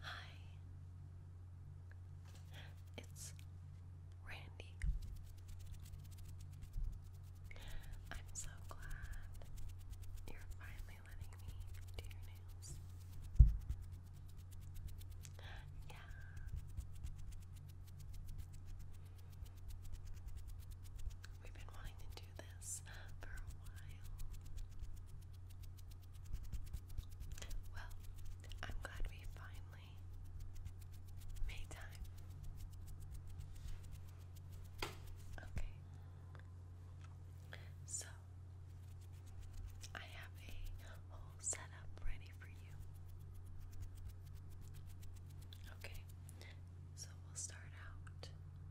Hi, it's Randy. I'm so glad you're finally letting me do your nails. Yeah. We've been wanting to do this for a while. Well, I'm glad we finally made time. Okay. So, I have a whole setup ready for you. Okay, so we'll start out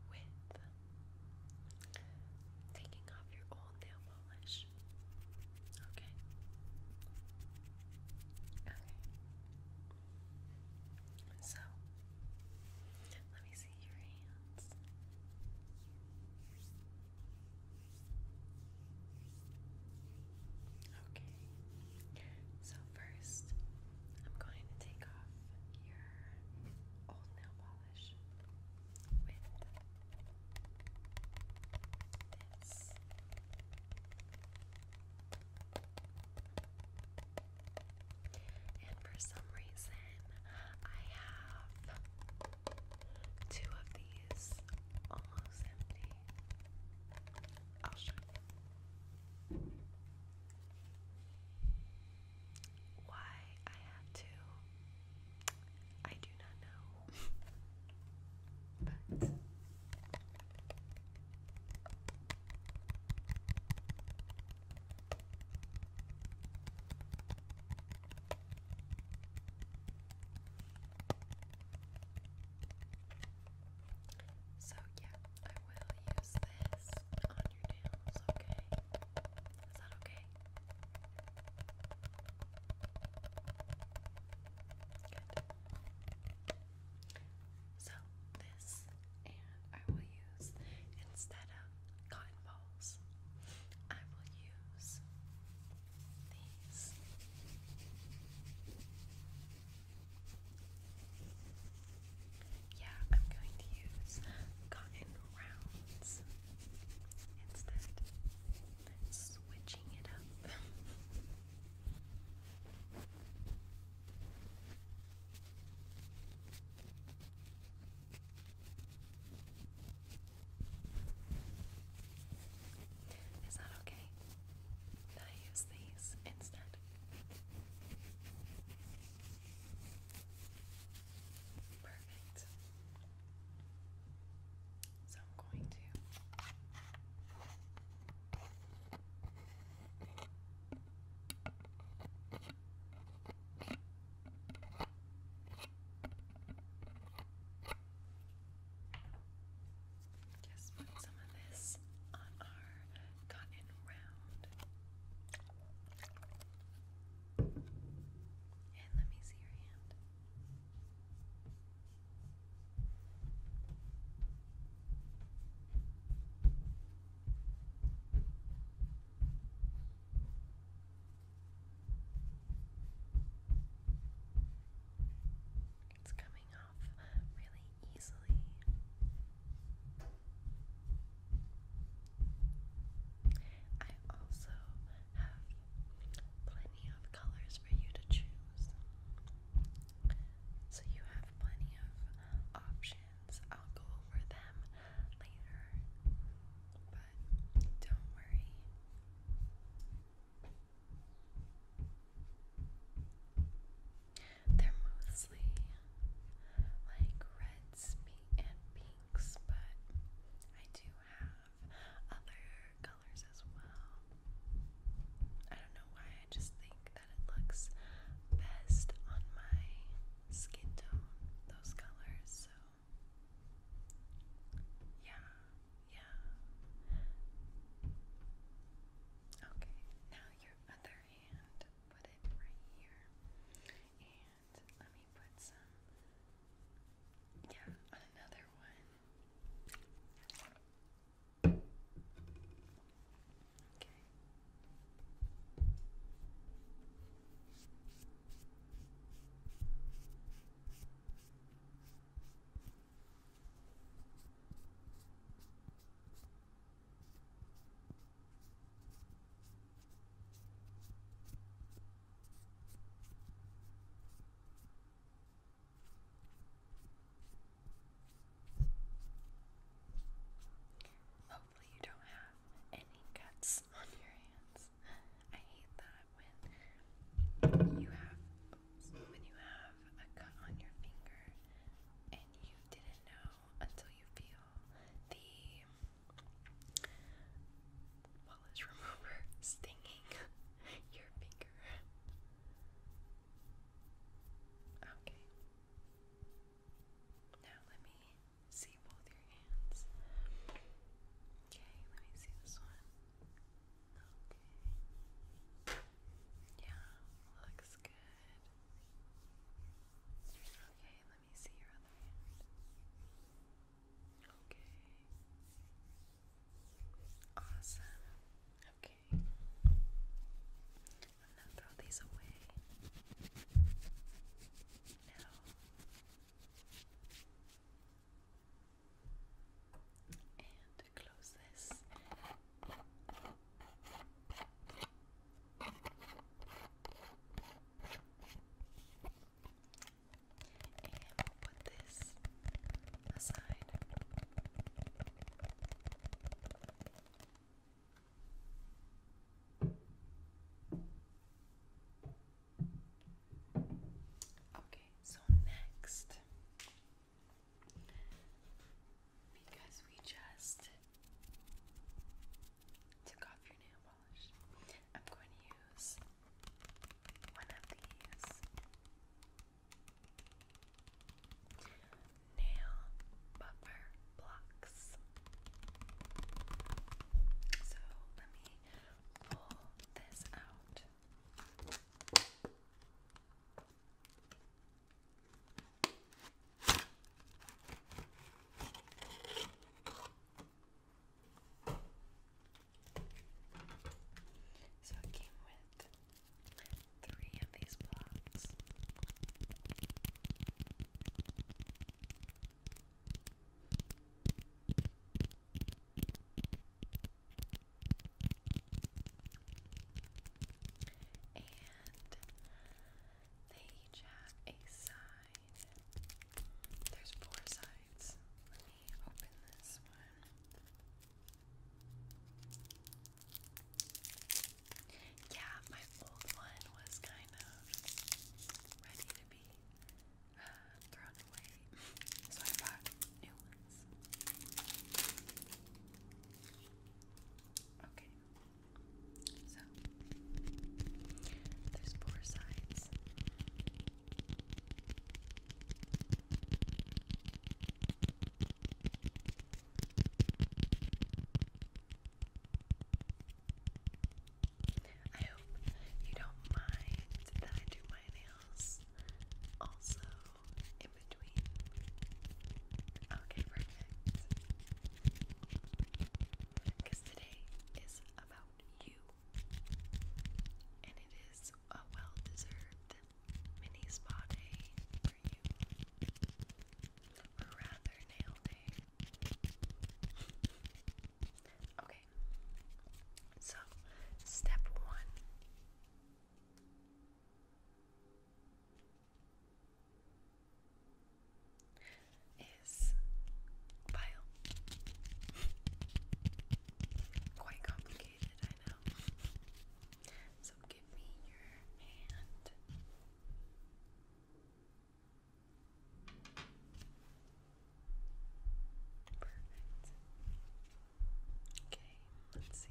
with Taking off your old nail polish. Okay. Okay. So, let me see your hands. Okay. So, first, I'm going to take off your old nail polish with this. And for some reason, I have two of these almost empty. i you. Why I had to, I do not know. but so, yeah, I will use this on your okay? Is that okay? So, this, and I will use, instead of cotton balls, I will use these. Yeah, I'm going to use cotton rounds instead. Switching it up. Is that okay? That I use these instead. Perfect. So I'm going to just put some of this on our cotton round. And let me see your hand. It's coming off really easily. I also have plenty of colors for you to choose. So you have plenty of options. I'll go over them later. But don't worry. They're mostly like red and pinks, but I do have other colors as well. I don't know why, I just think that it looks best on my skin tone, those colors, so yeah, yeah. Okay, now your other hand, put it right here. And let me put some. Yeah, another one. Okay. Hopefully, you don't have any cuts on your hands. I hate that when you have when you have a cut on your finger and you didn't know until you feel the Polish remover stinging your finger. Okay. Now let me see both your hands. Okay, let me see this one. Okay. Yeah, looks good. Okay, let me see your other hand. Okay. Awesome. Okay. I'm gonna throw these away. Now and close this. And we put this aside. Okay, so next, because we just took off your nail polish. I'm going to use one of these nail buffer blocks. So let me pull this out. So it came with three of these blocks. And they each have a side there's four sides. Let me open this one. Yeah, my old one was kind of ready to be uh, thrown away, so I bought new ones. Okay. So there's four sides. I hope you don't mind that I do my nails also in between. Okay, perfect. Because today is about you. And it is a well deserved mini spa day for you. Or rather, nail day. okay. So, step one is vile. Quite complicated, I know. So give me your hand. Perfect. Okay, let's see.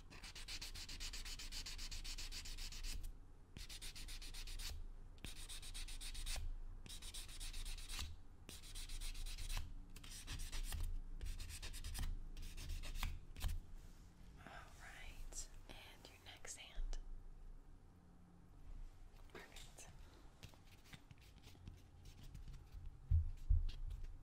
All right, and your next hand. Perfect.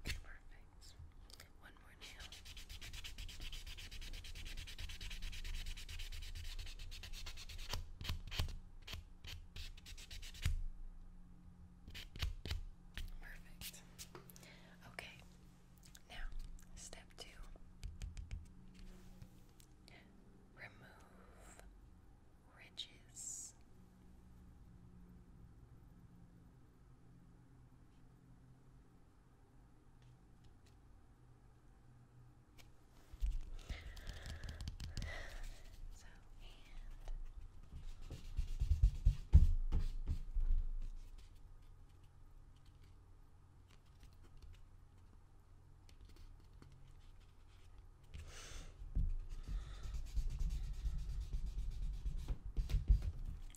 Okay, perfect. One more nail. Perfect. Okay, now step two remove Ridges. So, and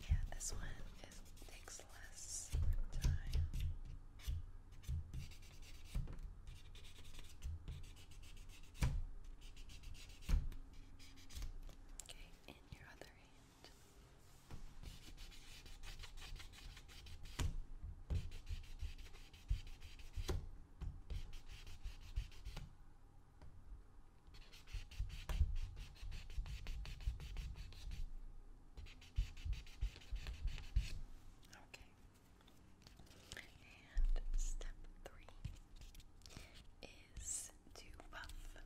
yeah, this one takes less time. Okay, in your other hand. Okay. And step three is to buff.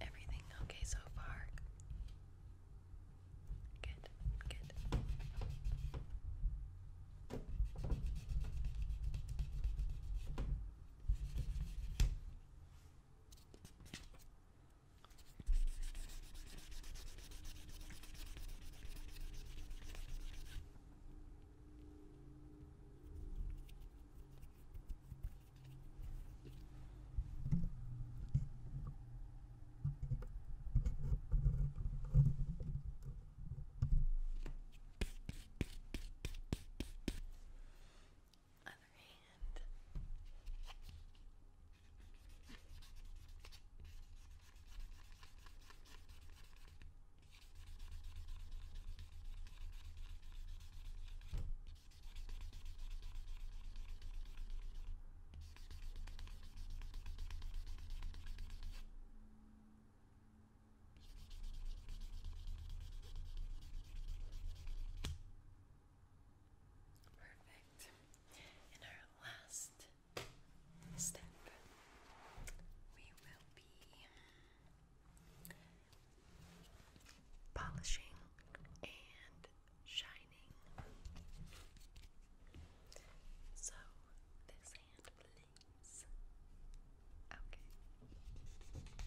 Everything okay so far? Good, good. Other hand. Perfect. In our last step, we will be polishing and shining. So, this hand, please. Okay. Perfect.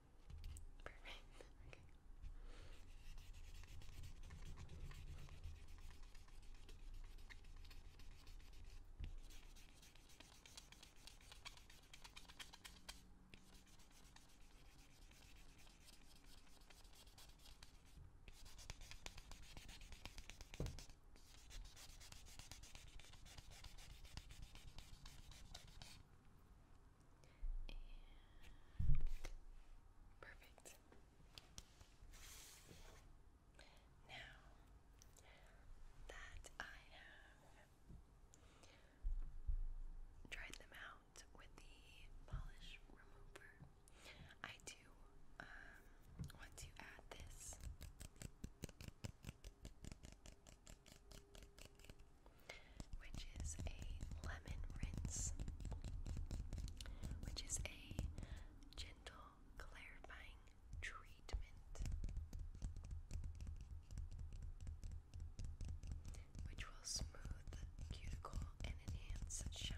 Perfect. Okay. Okay. And perfect. Now that I have tried them out with the polish remover, I do um, want add this which is a lemon rinse, which is a gentle clarifying treatment, which will smooth cuticle and enhance shine.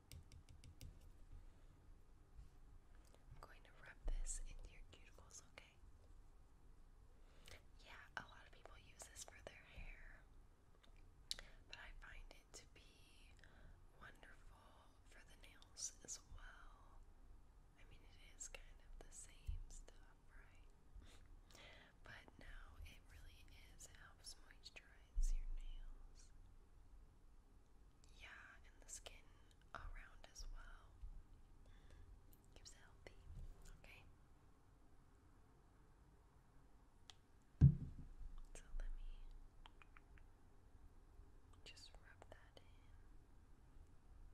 I'm going to rub this into your cuticles, okay? Yeah, a lot of people use this for their hair, but I find it to be wonderful for the nails as well. I mean, it is kind of the same stuff, right? but no, it really is helps moisturize your nails. Yeah, and the skin around as well. Keeps it healthy. Okay. So let me just rub that in. Okay.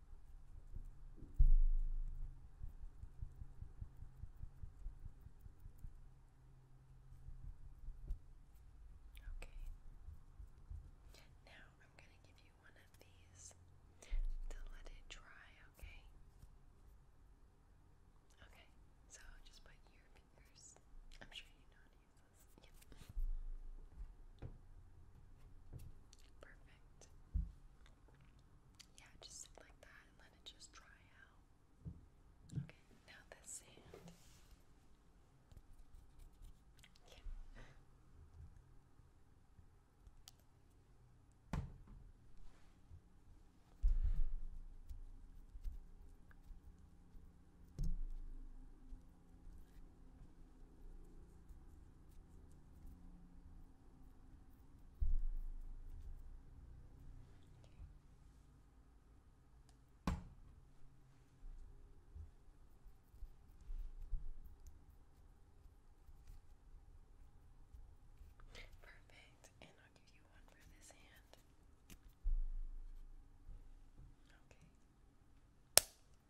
Okay. Now I'm going to give you one of these to let it dry, okay? Okay, so just put your fingers. I'm sure you know how to use this. Yep. Perfect yeah, just sit like that and let it just dry out. Okay, now the sand. Yeah. Okay. Perfect. And I'll give you one for this hand. Okay.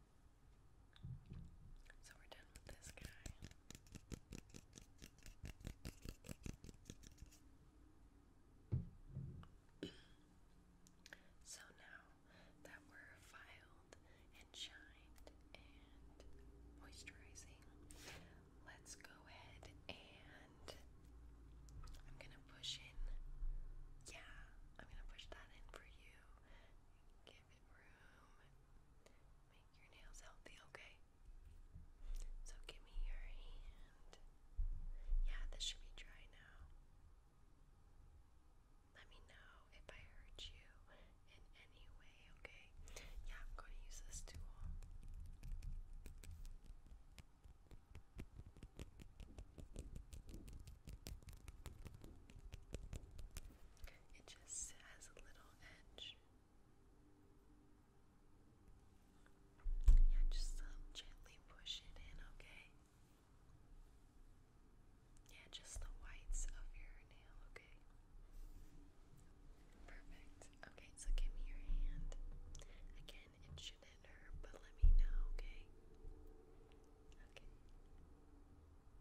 So we're done with this guy. so now that we're filed and shined and moisturizing, let's go ahead and I'm gonna push in. Yeah, I'm gonna push that in for you room. Make your nails healthy, okay? So give me your hand. Yeah, this should be dry now. Let me know if I hurt you in any way, okay? Yeah, I'm going to use this tool. It just has a little edge. Yeah, just um, gently push it in, okay? Yeah, just the whites of your nail, okay? Perfect. Okay, so give me your hand. Again, it shouldn't but let me know, okay? Okay.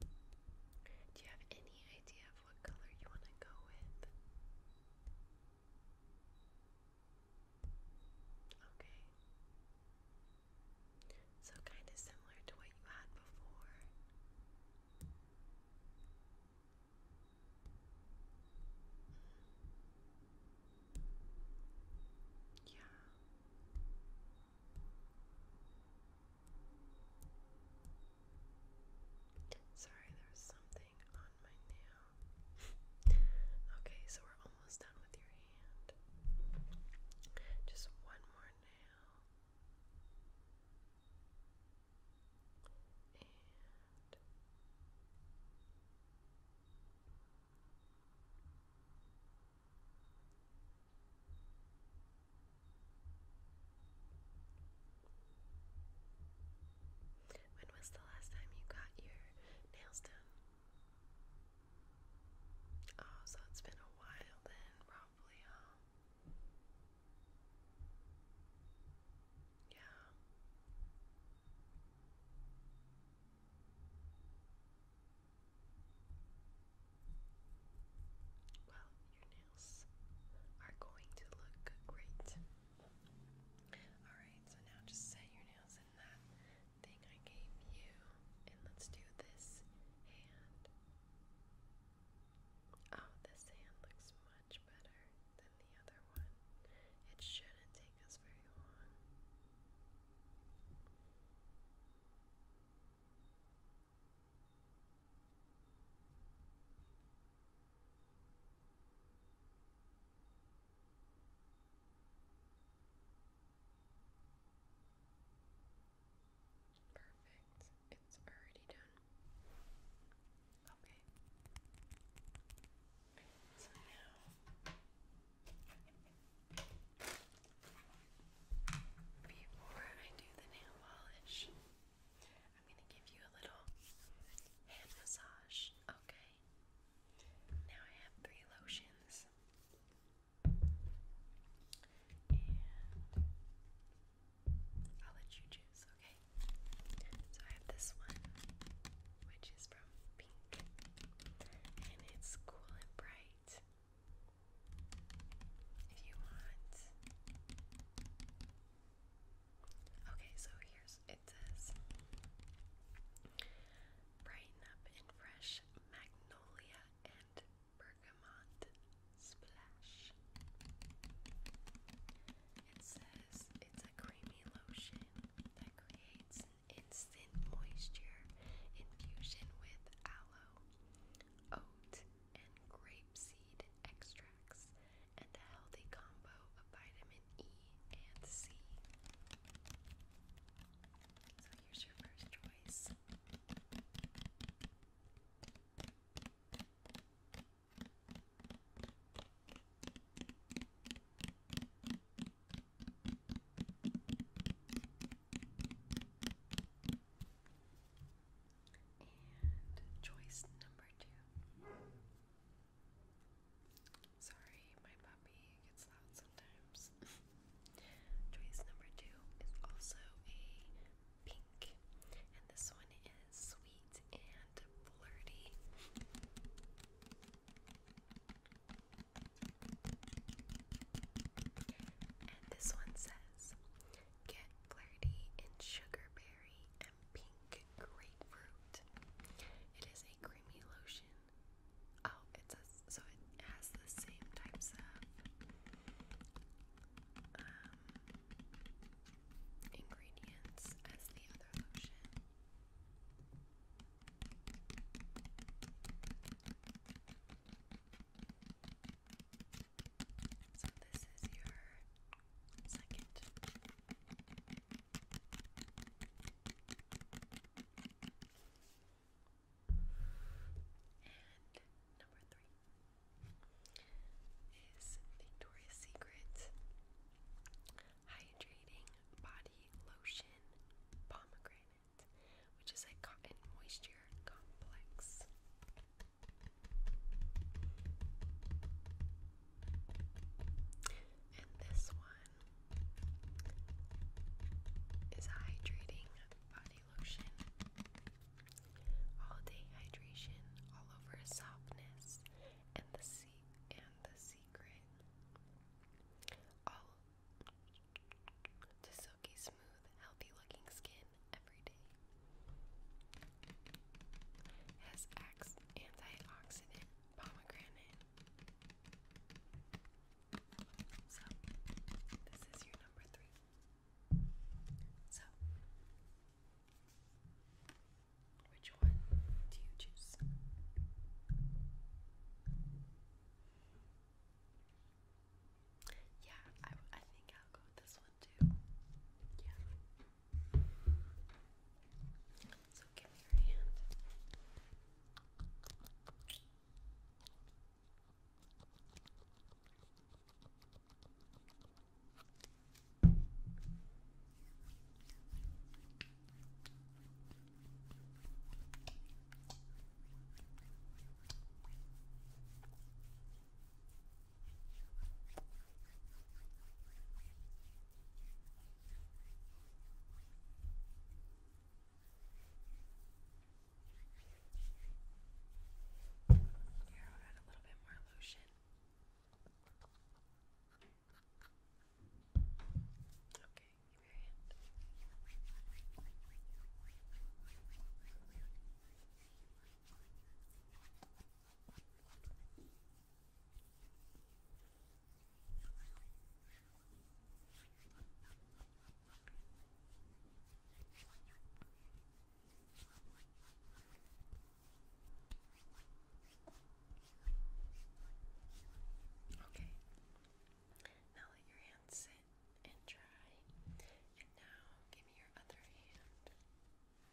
Do you have any idea of what color you want to go with? Okay. So, kind of similar to what you had before. Mm. Yeah. Sorry, there something on my nail. okay, so we're almost done with your hand. Just one more nail. And when was the last time you got your nails done? Oh, so it's been a while then, probably, huh? Yeah. Well, your nails are going to look great. Alright, so now just set your nails in that thing I gave you, and let's do this hand. Oh, this hand looks much better than the other one. It shouldn't take us very long. Perfect. It's already done. Okay. So now, before I do the nail polish, I'm going to give you a little hand massage, okay? Now I have three lotions. And I'll let you choose, okay? So I have this one, which is from Pink, and it's cool and bright. If you want, Okay, so here's it says brighten up in fresh magnolia and bergamot splash. It says it's a creamy lotion that creates an instant moisture infusion with aloe, oat, and grapeseed extracts, and a healthy combo of vitamin E and C. So here's your first choice. And choice number two. Sorry, my puppy gets loud sometimes. choice number two is also a pink, and this one is sweet and flirty. And this one says, Get Clarity in Sugarberry and Pink Grapefruit. It is a creamy lotion. Oh, it says so it has the same types of um, ingredients as the other lotion. So this is your second. And number three is Victoria's Secret Hydrating Body Lotion Pomegranate, which is a cotton moisture complex. And this one is hydrating body lotion. All day hydration, all over softness, and the sea and the secret. to silky smooth, healthy looking skin every day. Has ax antioxidant pomegranate. So, this is your number three. So, which one do you choose? Yeah, I, I think I'll go with this one too. Yeah. So give me your hand. Okay. Here, I'll add a little bit more lotion. Okay, give me your hand. Okay. Okay. Now let your hand sit and dry. And now give me your other hand.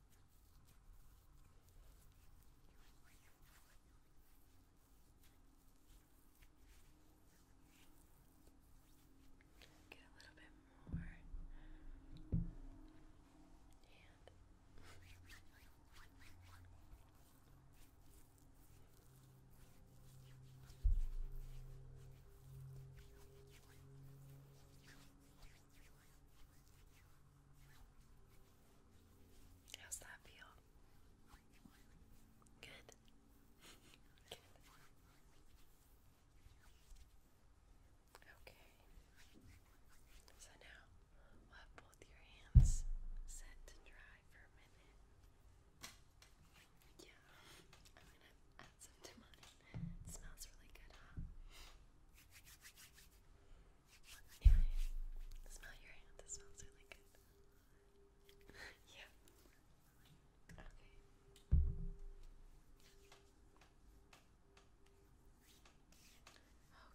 Get a little bit more. And How's that feel? Good. Okay. So now we'll have both your hands set to dry for a minute. Yeah, I'm gonna add some to It smells really good, huh? Anyway, smell your hand. It smells really good. yeah. Okay.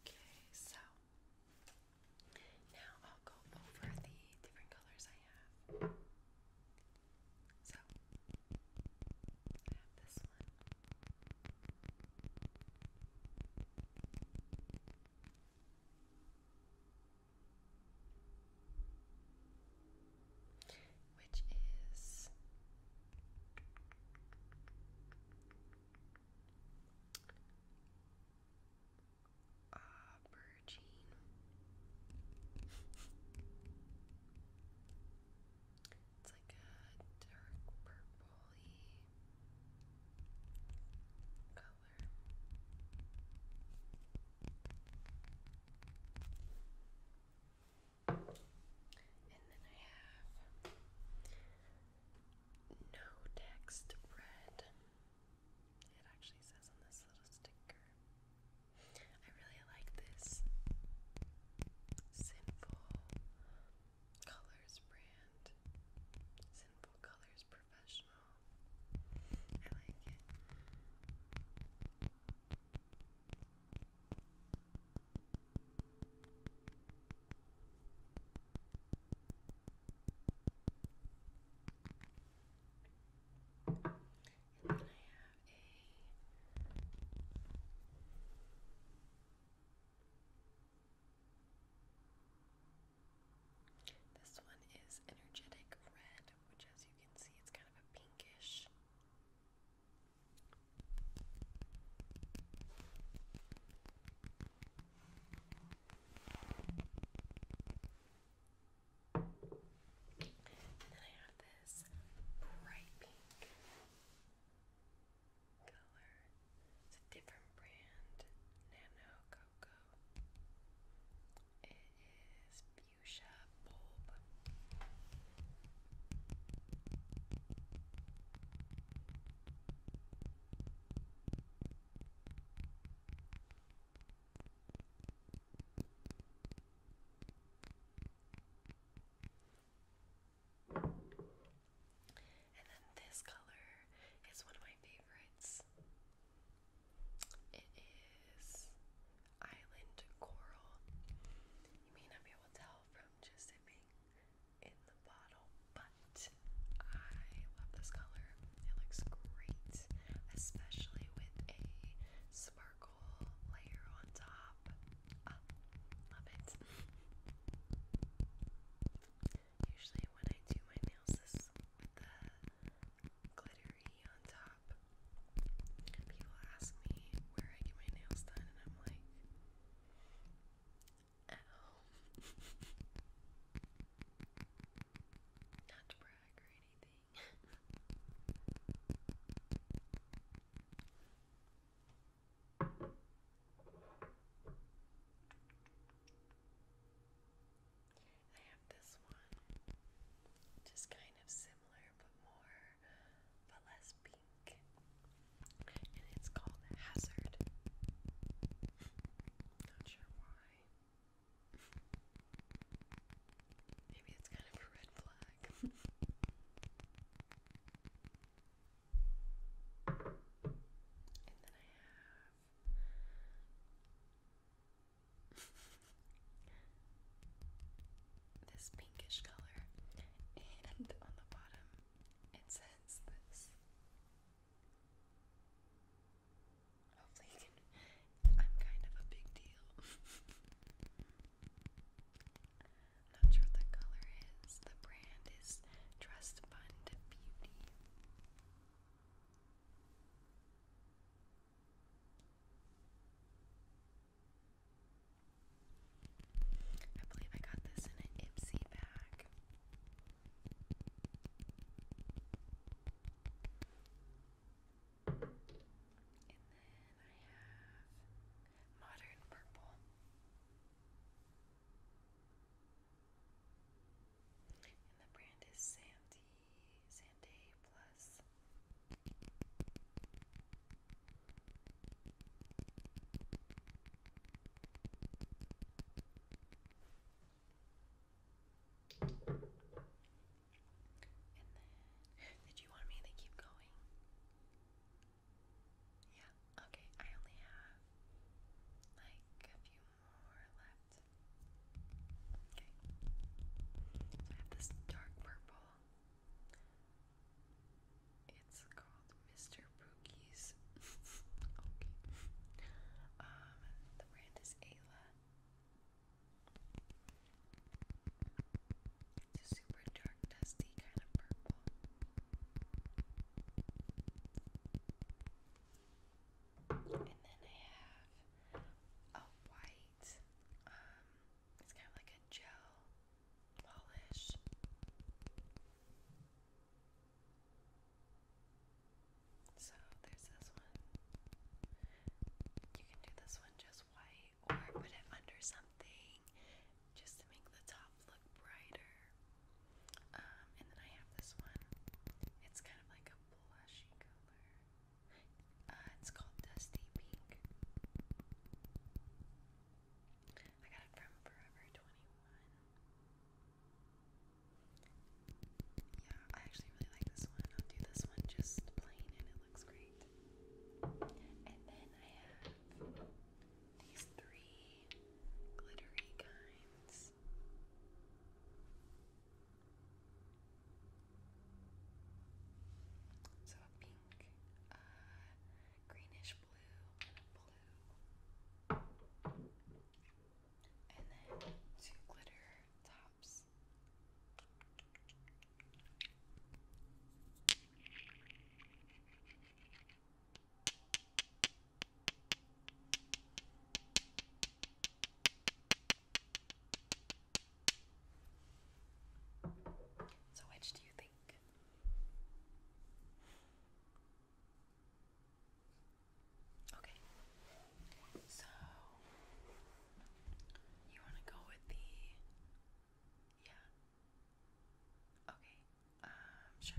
Okay, so now I'll go over the different colors I have. So I have this one which is aubergine. it's like a dark purple purpley color. And then I have no text red. It actually says on this little sticker. I really like this sinful Colors brand. Simple Colors Professional. I like it. And then I have a this one is energetic red, which as you can see, it's kind of a pinkish. And then I have this bright pink color. It's a different brand, Nano Coco. It is fuchsia bulb. And then this color is one of my favorites. It is Island Coral. You may not be able to tell from just it being in the bottle, but I love this color. It looks great, especially with a sparkle layer on top. Ah, love it. Usually when I do my nails this the glittery on top, people ask me where I get my nails done and I'm like at home. Not to brag or anything. I have this one, just kind of similar but more, but less pink, and it's called Hazard. Not sure why. Maybe it's kind of a red flag. And this pinkish color, and on the bottom it says this. Hopefully, you can. I'm kind of a big deal. not sure what the color is. The brand is Trust Fund Beauty. I believe I got this in an Ipsy bag. And then I have Modern Purple. And the brand is Sandy, Sanday Plus. did you want me to keep going? Yeah. Okay, I only have like a few more left. Okay. I have this dark purple. It's called Mr. Pookie's. okay. Um, the brand is Ayla. It's a super dark, dusty kind of purple. And then I have a white, um, it's kind of like a gel polish. So there's this one. You can do this one just white or put it under something just to make the top look brighter. Um, and then I have this one. It's kind of like a blushy color. Uh, it's called Dusty Pink. I got it from Forever 21. Yeah, I actually really like this one. I'll do this one just plain and it looks great. And then I have these three glittery kinds this. So pink, uh, greenish blue, and blue. And then two glitter tops. So, which do you think? Okay, so you want to go with the yeah. Okay, um, sure.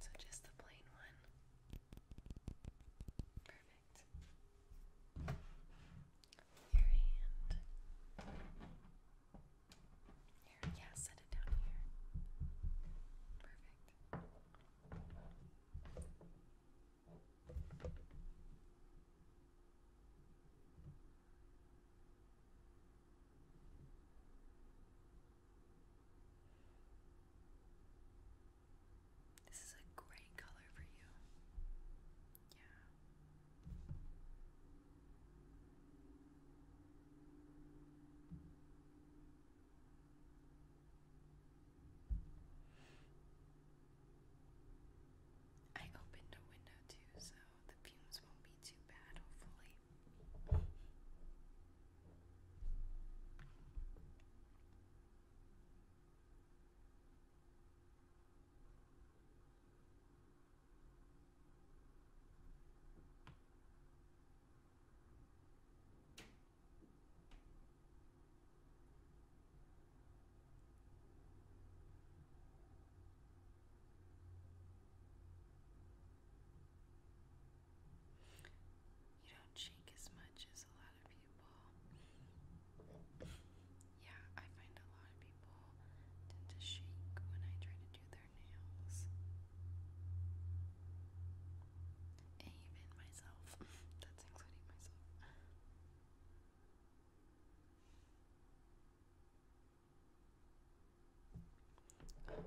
So just the plain one. Perfect. Your hand. yeah, set it down here. Perfect. This is a great color for you. Yeah. I opened a window too, so the fumes won't be too bad, hopefully. You don't shake as much as a lot of people. Yeah, I find a lot of people tend to shake when I try to do their nails. Amen myself. That's including myself. Alright.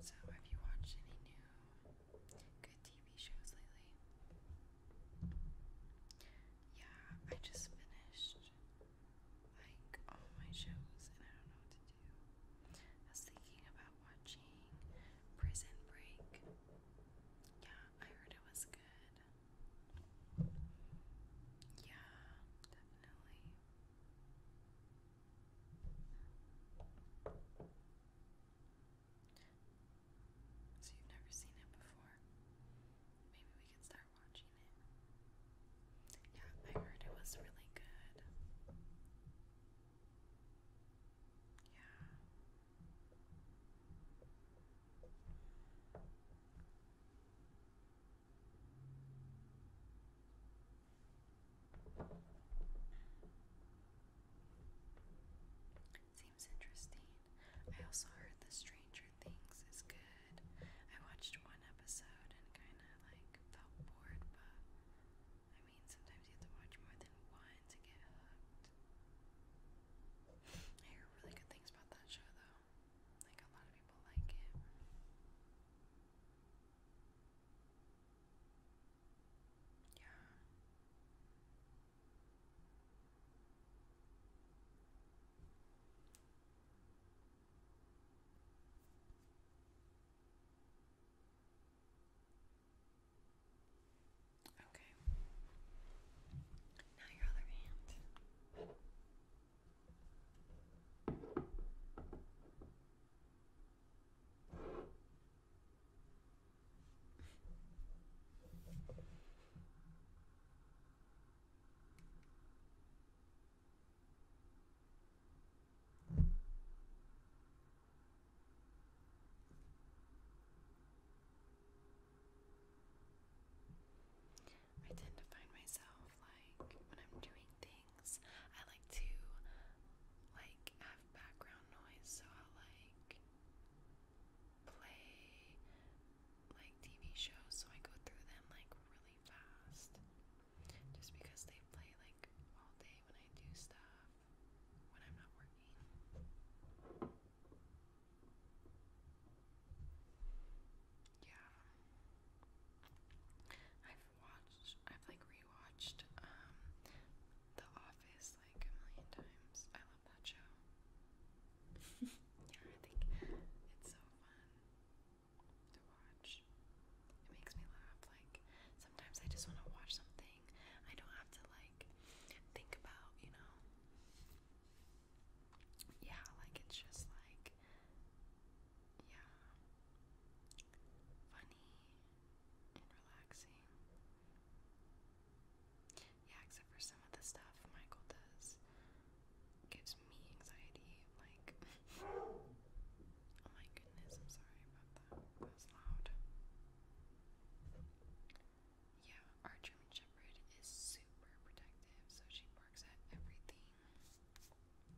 So, have you watched any new good TV shows lately? Yeah, I just finished like all my shows and I don't know what to do. I was thinking about watching Prison Break. Yeah, I heard it was good. Yeah, definitely. So you've never seen it before. Maybe we can start watching it. Yeah, I heard it was really good. Yeah. Seems interesting. I also heard The Stranger Things is good. I watched one episode and kind of like felt bored, but I mean, sometimes you have to watch more than one to get hooked. I hear really good things about that show though. Like, a lot of people like it. Yeah. Okay. Now your other hand. I tend to find myself like when I'm doing things I like to like have background noise, so i like play like TV shows, so I go through them like really fast. Just because they play like all day when I do stuff when I'm not working. Yeah i watched, I've like rewatched um, The Office like a million times. I love that show. yeah, I think it's so fun to watch. It makes me laugh. Like sometimes I just want to watch something. I don't have to like think about, you know. Yeah, like it's just like yeah, funny and relaxing. Yeah, except for some of the stuff Michael does gives me anxiety. Like, oh my goodness, I'm sorry about that. That was loud. Yeah, our German Shepherd is super protective, so she barks at everything. Yeah.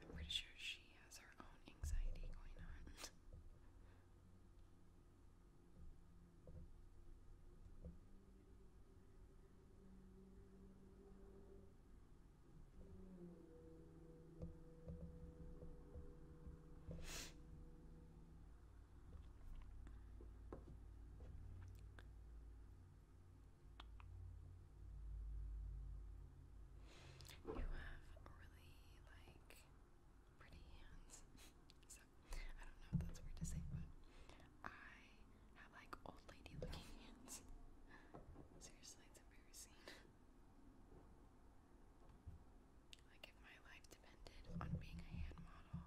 I'm pretty sure she has her own anxiety going on. You have really like pretty hands. so I don't know if that's weird to say, but I have like old lady looking hands. Seriously, it's embarrassing. Like if my life depended on being a hand model,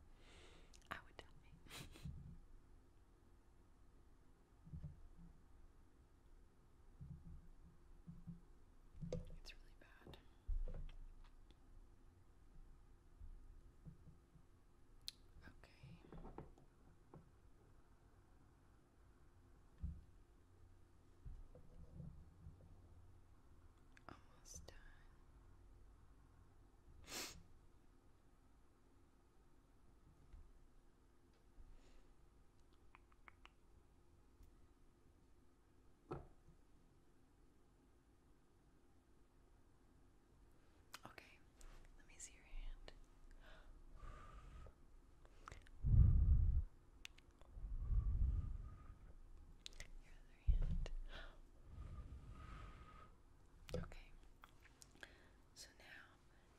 I would die. It's really bad. Okay. Almost done. Okay, let me see your hand. Your other hand. Okay, so now,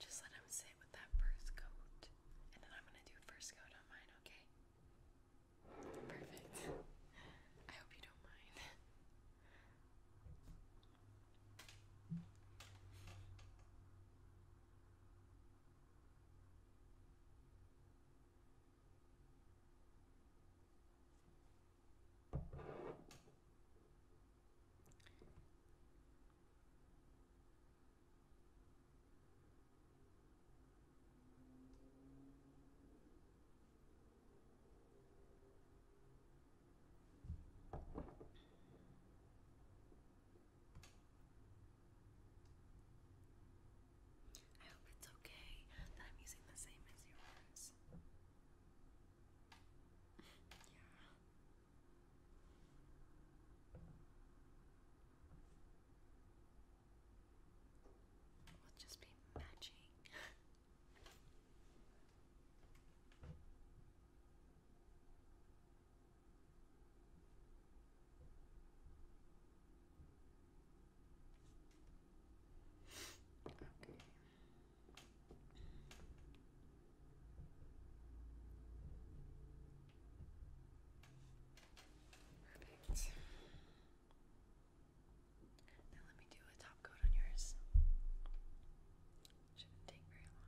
just let him sit with that first coat, and then I'm gonna do first coat on mine, okay? Perfect. I hope you don't mind. I hope it's okay that I'm using the same as yours yeah. We'll just be matching. okay. Perfect. Now let me do a top coat on yours. Shouldn't take very long.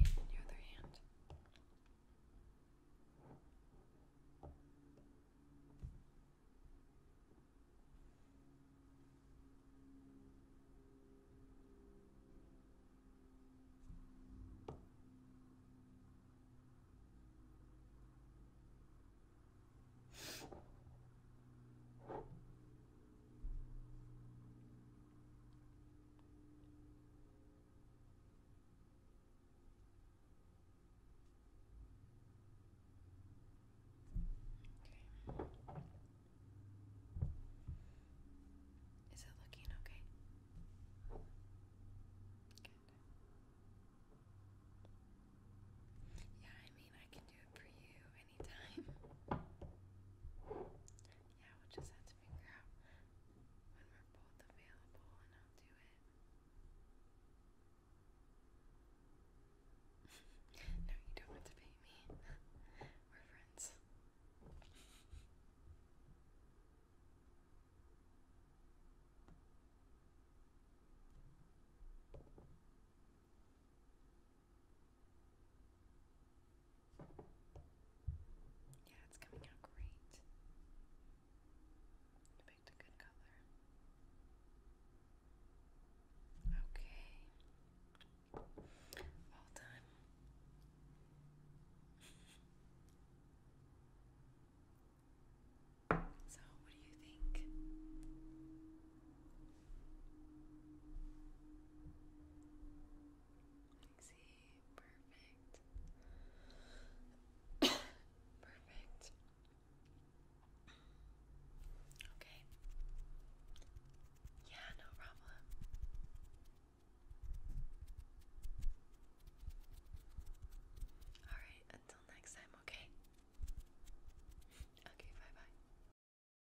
Okay. And your other hand. Okay. Is it looking okay? Yeah, I mean, I can do it for you anytime. Yeah, we just have to figure out when we're both available and I'll do it. no, you don't have to pay me. we're friends. Yeah, it's coming out great. You picked a good color. Okay. All done. So, what do you think? See, perfect. perfect. Okay. Yeah, no problem. Alright, until next time, okay? Okay, bye bye.